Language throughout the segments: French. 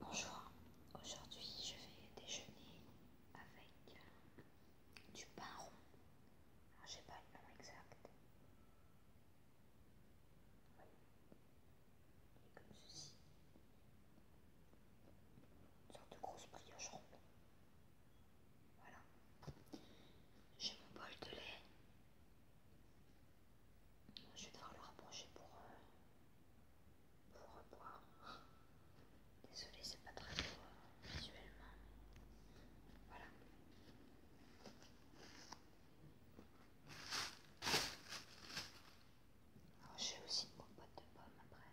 Bonjour, aujourd'hui je vais déjeuner avec du pain rond. Alors j'ai pas le nom exact. comme ceci. Une sorte de grosse brioche ronde. Voilà. J'ai mon bol de lait. Je vais devoir le rapprocher pour, revoir. Euh, pour Désolée, c'est pas très beau euh, visuellement. Voilà. Alors, j'ai aussi une compote de pommes après.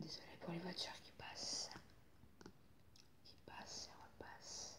désolé pour les voitures qui passent, qui passent et repassent.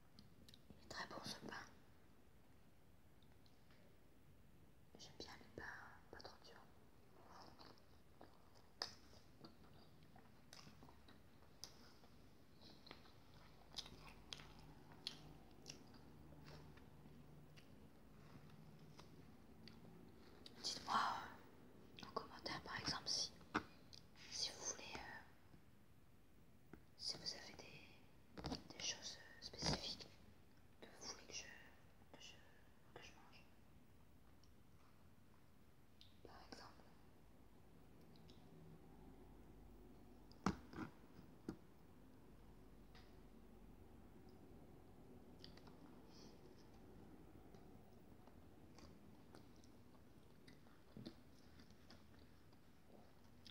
Il est très bon ce pain. J'aime bien les pains pas trop dur. Dites-moi euh, en commentaire par exemple si, vous voulez euh, si vous avez des, choses spécifiques que vous voulez que je, que je mange. Par exemple.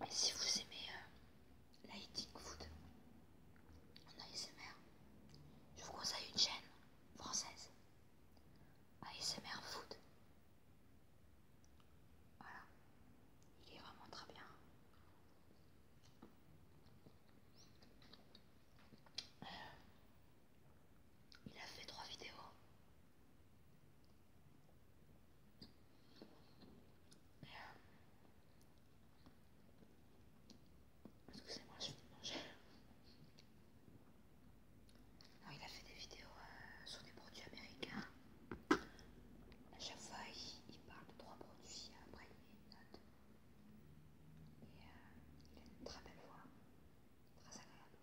Et si vous aimez euh, la food en ASMR, je vous conseille une chaîne française ASMR Food. Voilà, il est vraiment très bien. Euh, il a fait trois vidéos Excusez-moi, je vais manger. il a fait des vidéos euh, sur des produits américains. À chaque fois, il, parle de trois produits après il met une note. Et euh, il a une très belle voix, très agréable.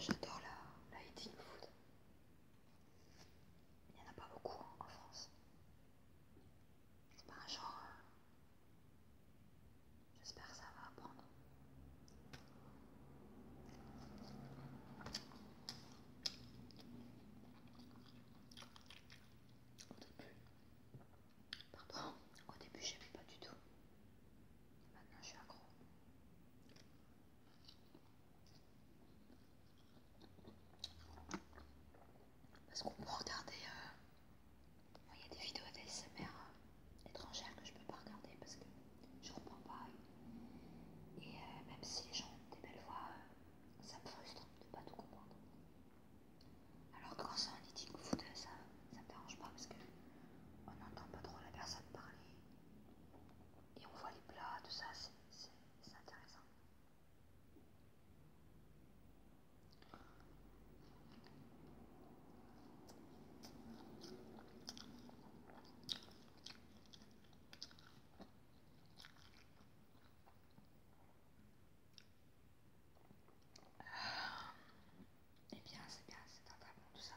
J'adore la, la eating food. Il n'y en a pas beaucoup hein, en France. C'est pas un genre. Euh, j'espère que ça va apprendre. Au début, pardon, au début, j'aimais pas du tout. Maintenant, je suis accro. Parce qu'on peut regarder. Euh, il y a des vidéos d'ASMR euh, étrangères que je peux pas regarder parce que je comprends pas. Et, euh, même si les gens ont des belles voix, ça me frustre de pas tout comprendre. Alors que quand c'est un eating de ça, ça me dérange pas parce que on n'entend pas trop la personne parler et on voit les plats, tout ça, c'est intéressant. Eh bien, c'est bien, c'est un très tout ça.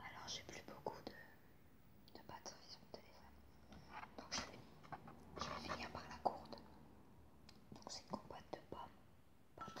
Alors, j'ai plus beaucoup de, de sur mon téléphone. Donc, je vais, finir par la courde. Donc, c'est une compote de pommes, pas de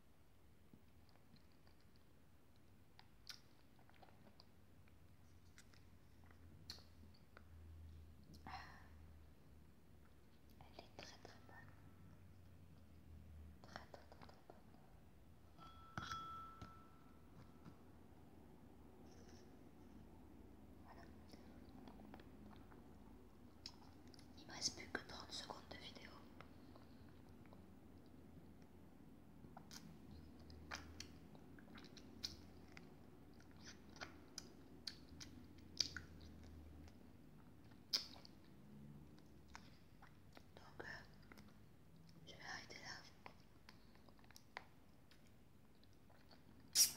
elle est très très bonne. Très très très, très bonne. Voilà. Il me reste plus que 30 secondes de vidéo. Donc, euh, je vais arrêter là. Voilà.